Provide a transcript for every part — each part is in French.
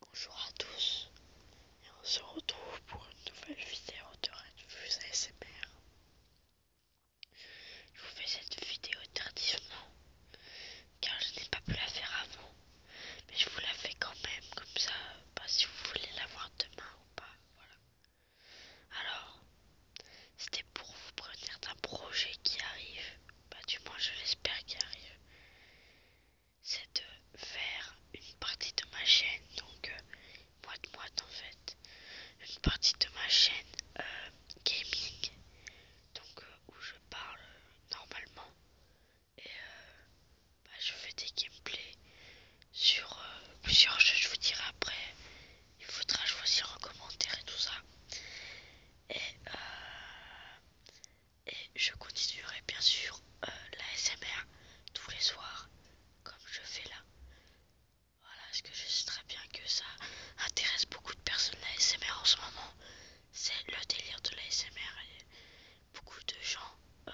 Bonjour à tous et on se retrouve pour une nouvelle vidéo de Redfuse ASMR. Je vous fais cette vidéo tardivement car je n'ai pas pu la faire avant mais je vous la fais quand même comme ça pas bah, si vous voulez la voir demain ou pas voilà. Alors c'était pour vous prévenir d'un projet qui arrive bah du moins je l'espère qu'il arrive, c'est de faire une partie de ma chaîne, donc moi euh, moite moite en fait, une partie de ma chaîne euh, gaming, donc euh, où je parle normalement et bah, je fais des gameplays sur plusieurs jeux, je vous dirai après, il faudra choisir vous commentaire et tout ça. Et, euh, et je continuerai bien sûr euh, la SMR tous les soirs, comme je fais là. Voilà, ce que je sais très bien que ça intéresse beaucoup de personnes la SMR en ce moment. C'est le délire de la SMR beaucoup de gens euh,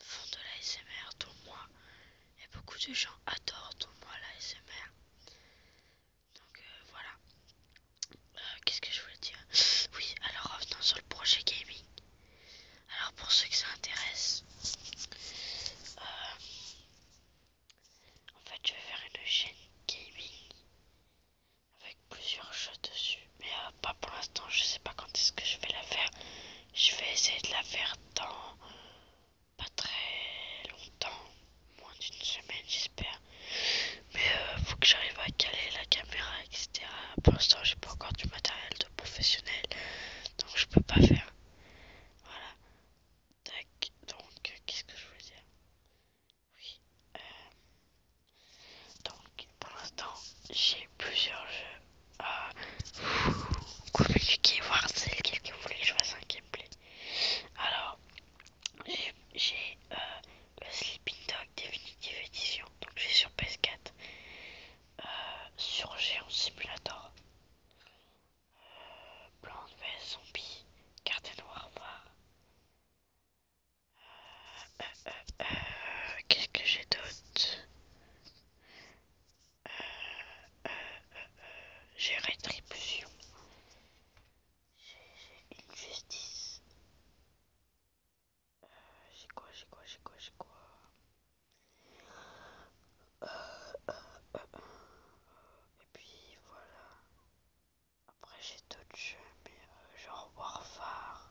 font de la SMR, dont moi. Et beaucoup de gens adorent, dont moi, la SMR. Donc euh, voilà. Euh, qu'est-ce que je voulais dire Oui, alors revenons sur le projet gaming. Alors pour ceux que ça intéresse, euh, en fait je vais faire une chaîne gaming avec plusieurs jeux dessus. Mais pas pour l'instant, je sais pas quand est-ce que je vais la faire. Je vais essayer de la faire dans pas très longtemps, moins d'une semaine j'espère. Mais euh, faut que j'arrive à caler la caméra, etc. Pour l'instant, j'ai pas encore du matériel de professionnel, donc je peux pas faire. Voilà. Tac. Donc, qu'est-ce que je voulais dire Oui. Euh, donc, pour l'instant, j'ai plusieurs jeux à vous est voir celles que vous voulez que je vois un alors, j'ai euh, le Sleeping Dog définitive Edition, donc j'ai sur PS4, euh, sur Géant Simulator, euh, Blonde Zombie, carte noire Qu'est-ce que j'ai d'autre j'ai rétribution, j'ai une justice, euh, j'ai quoi, j'ai quoi, j'ai quoi, j'ai quoi, euh, euh, et puis voilà, après j'ai d'autres jeux, mais genre Warfare.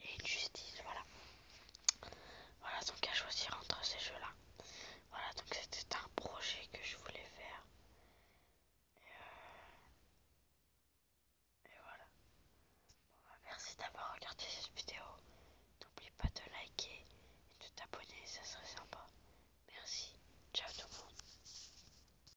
et une justice, voilà. Voilà, donc à choisir entre ces jeux-là. Voilà, donc c'était un projet que je voulais faire. Et, euh, voilà. Bah, merci d'avoir regardé cette vidéo. N'oublie pas de liker et de t'abonner, ça serait sympa. Merci. Ciao tout le monde.